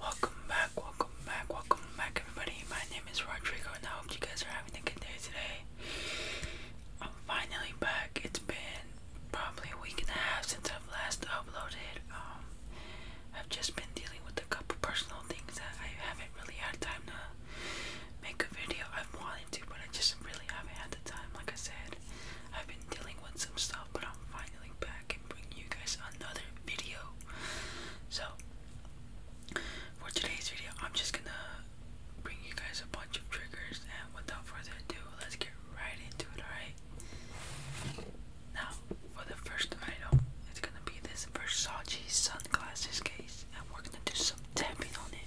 Welcome back, welcome back, welcome back, everybody. My name is Rodrigo, and I hope you guys are having a good day today. I'm finally back. It's been probably a week and a half since I've last uploaded. Um, I've just been dealing with a couple personal things that I haven't really had time to make a video. i wanted to, but I just really haven't had the time. Like I said, I've been dealing with some stuff, but I'm finally back and bringing you guys another video. So, for today's video, I'm just gonna bring you guys a bunch of triggers, and without further ado, let's get right into it, alright? Now, for the first item, it's gonna be this Versace sunglasses case, and we're gonna do some tapping on it.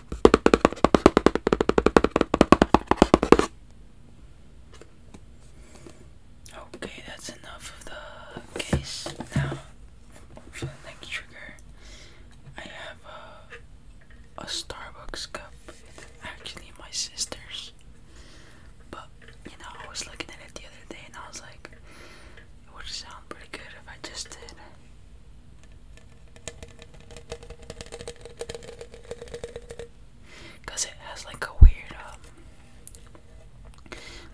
Okay, that's enough of the case. Now, for the next trigger, I have a, a Starbucks cup. Actually, my sister's. But, you know, I was looking at it the other day and I was like, it would sound pretty good if I just did Cause it has like a weird, um,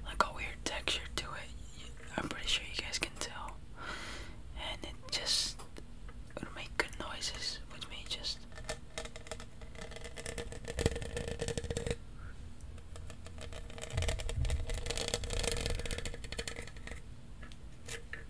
like a weird texture to it. I'm pretty sure you guys can tell, and it just would make good noises with me. Just.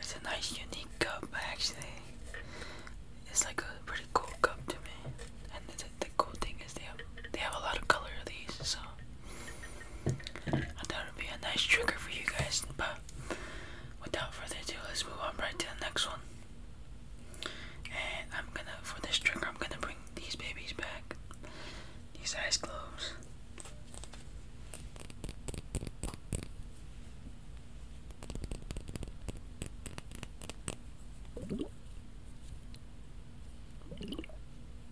It's a nice unique cup actually. It's like a pretty cool cup to me. And the, the cool thing is they have they have a lot of color of these so I thought it would be a nice trigger for you guys, but without further ado, let's move on right to the next one. And I'm gonna, for this trigger, I'm gonna bring these babies back. These eyes closed.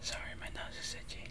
Sorry, my nose is itchy.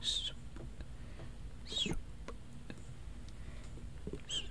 Swoop. Swoop. Swoop.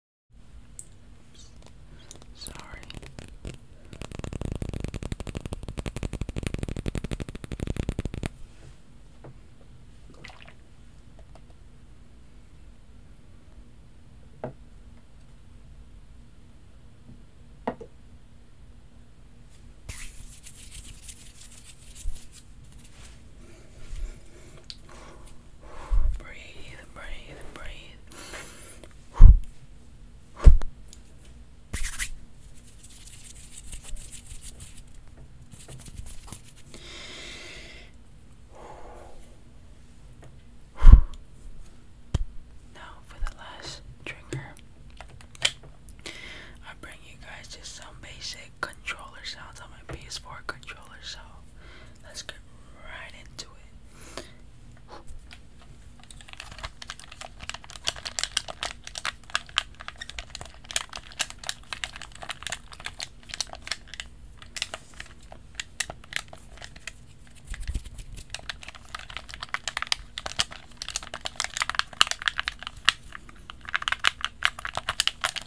Oops. Sorry. Breathe, breathe, breathe. Now, for the last trigger, I bring you guys just some basic controller sounds on my PS4 controller. So, let's get right into it.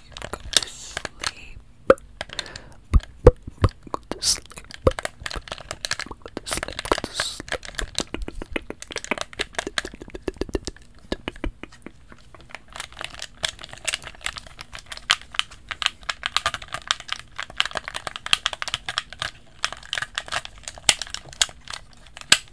sleep, go to sleep. Go to sleep. Go to sleep. Go to sleep. Good night.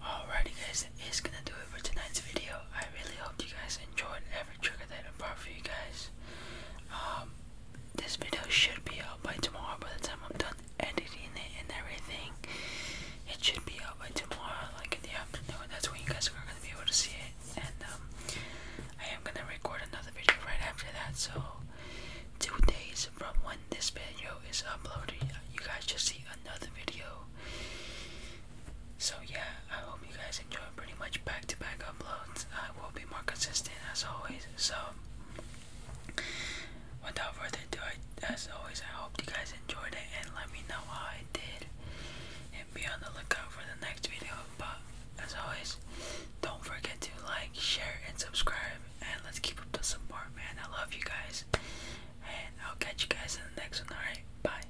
Alrighty guys, that is gonna do it for tonight's video. I really hope you guys enjoyed haven't triggered that in part for you guys. Um, this video should be out by tomorrow. By the time I'm done editing it and everything, it should be out by tomorrow, like in the afternoon. That's when you guys are gonna be able to see it. And um, I am gonna record another video right after that. So two days from when this video is uploaded, you guys just see another video. So yeah, I hope you guys enjoy pretty much back-to-back uploads. I will be more consistent as always. So without further ado, as always, I hope you guys enjoyed it and let me know how I did. And be on the lookout for the next video. But as always, don't forget to like, share, and subscribe. And let's keep up the support, man. I love you guys. And I'll catch you guys in the next one. Alright, bye.